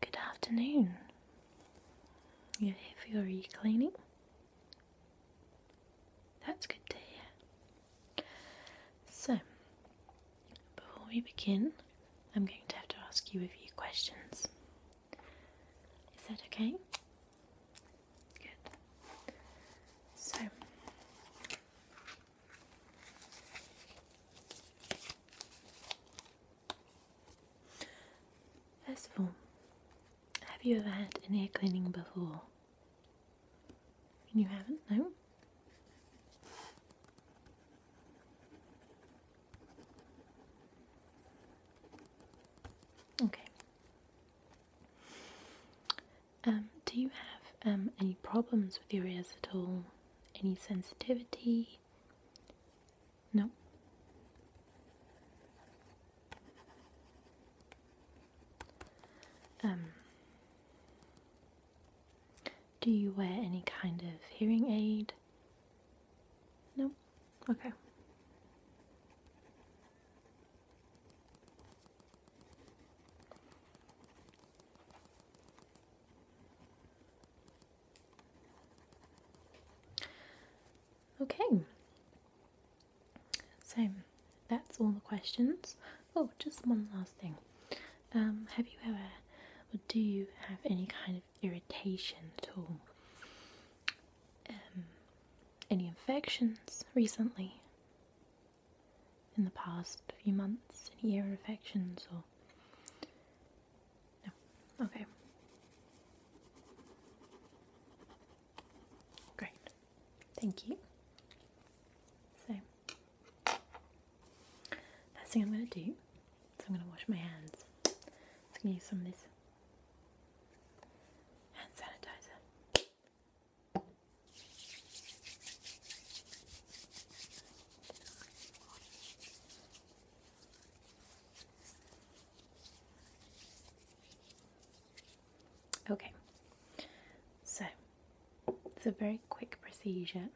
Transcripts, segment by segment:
Good afternoon. You're here for your e That's good to So, before we begin, I'm going to have to ask you a few questions. Is that okay? Good. So First of all, have you ever had an ear cleaning before? You haven't, no? Okay. Um, do you have um, any problems with your ears at all? Any sensitivity? No. Um, do you wear any kind of hearing aid? No. Okay. Okay. So that's all the questions. Oh, just one last thing. Um, have you ever, or do you have any kind of? irritation at all. Um, any infections recently? In the past few months? Any ear infections or. No? Okay. Great. Thank you. So, first thing I'm going to do so I'm going to wash my hands. I'm going to use some of this hand sanitizer. Okay, so it's a very quick procedure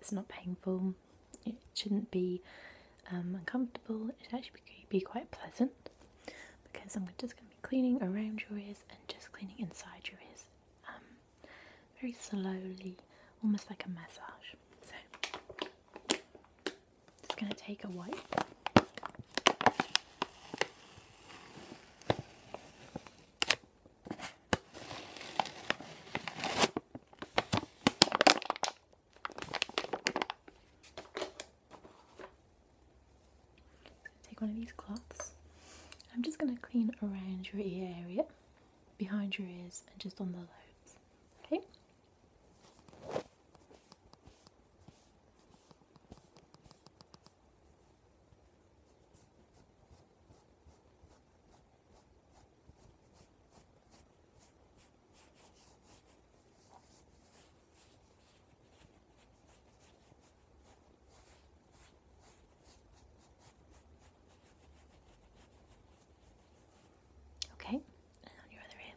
it's not painful, it shouldn't be um, uncomfortable, it should actually be, quite pleasant because I'm just going to be cleaning around your ears and just cleaning inside your ears um, very slowly, almost like a massage. So, just going to take a wipe take one of these cloths. I'm just going to clean around your ear area, behind your ears, and just on the lobes. Okay? Okay, and on your other hand.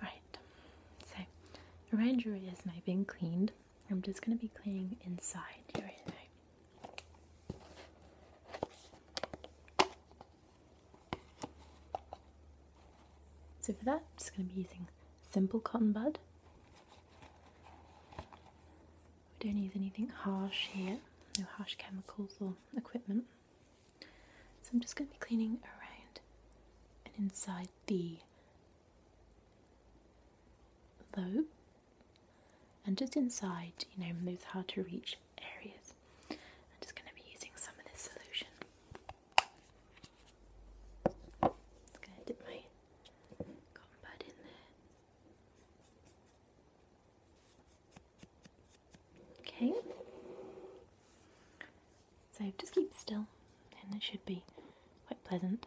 Alright, so around your ears now being cleaned, I'm just going to be cleaning inside your So for that, I'm just going to be using simple cotton bud. We don't use anything harsh here, no harsh chemicals or equipment. So I'm just going to be cleaning around and inside the low and just inside, you know, those hard to reach areas. I'm just going to be using some of this solution. just going to dip my cotton pad in there. Okay. So just keep still, and it should be quite pleasant.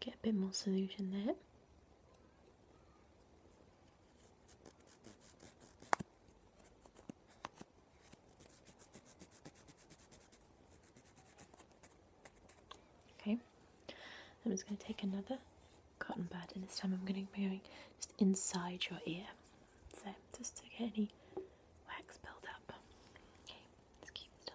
Get a bit more solution there. Okay, I'm just going to take another cotton bud, and this time I'm going to be going just inside your ear, so just to get any wax build up. Okay, let's keep still.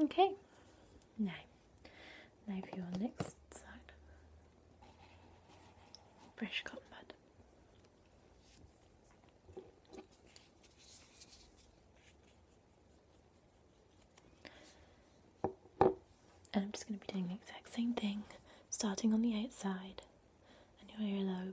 Okay, now, now for your next side. Fresh cotton bud. And I'm just going to be doing the exact same thing, starting on the outside and your earlobe.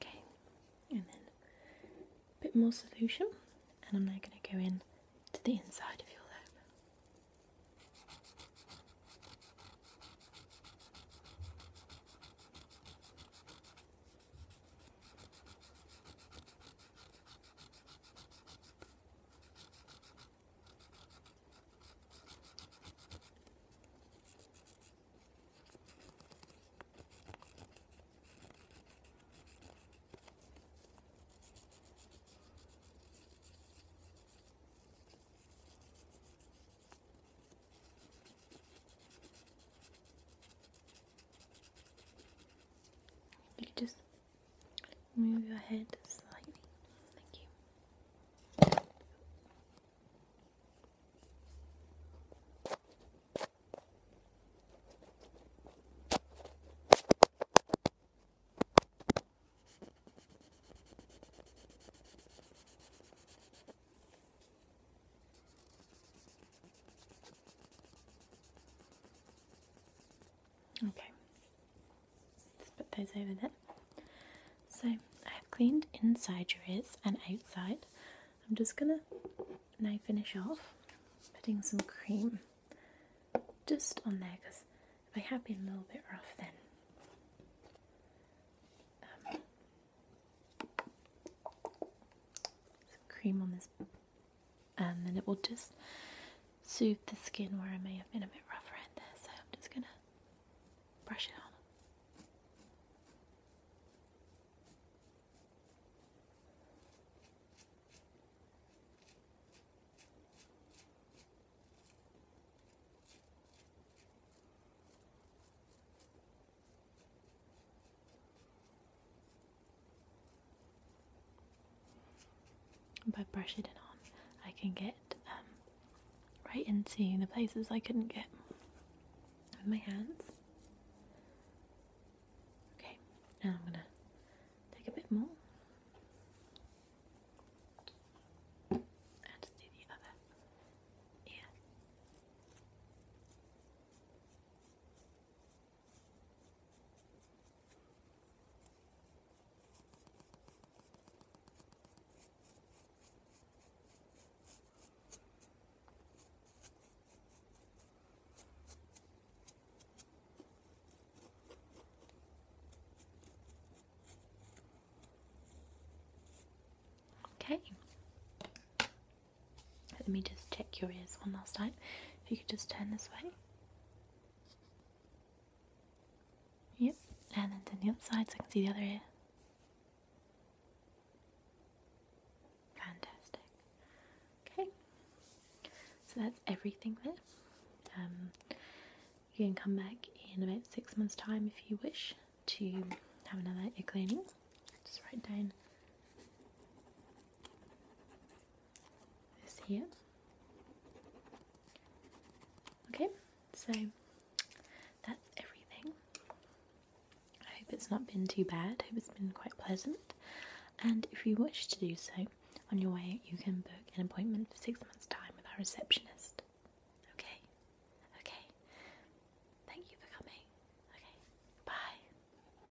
Okay, and then a bit more solution, and I'm now going to go in to the inside of your lip. You just Move your head slightly. Thank you. Okay, put those over there. So I've cleaned inside your ears and outside. I'm just gonna now finish off putting some cream just on there because if I have been a little bit rough then um, some cream on this um, and then it will just soothe the skin where I may have been a bit rough around there. So I'm just gonna brush it on. By brushing it on, I can get um, right into the places I couldn't get with my hands. Okay, now I'm gonna take a bit more. And do the other ear. Okay. Let me just check your ears one last time. If you could just turn this way. Yep, and then to the other side so I can see the other ear. Fantastic. Okay, so that's everything there. Um, you can come back in about six months' time if you wish to have another ear cleaning. Just write down this here. Okay, so that's everything. I hope it's not been too bad. I hope it's been quite pleasant. And if you wish to do so on your way, you can book an appointment for six months' time with our receptionist. Okay? Okay. Thank you for coming. Okay. Bye.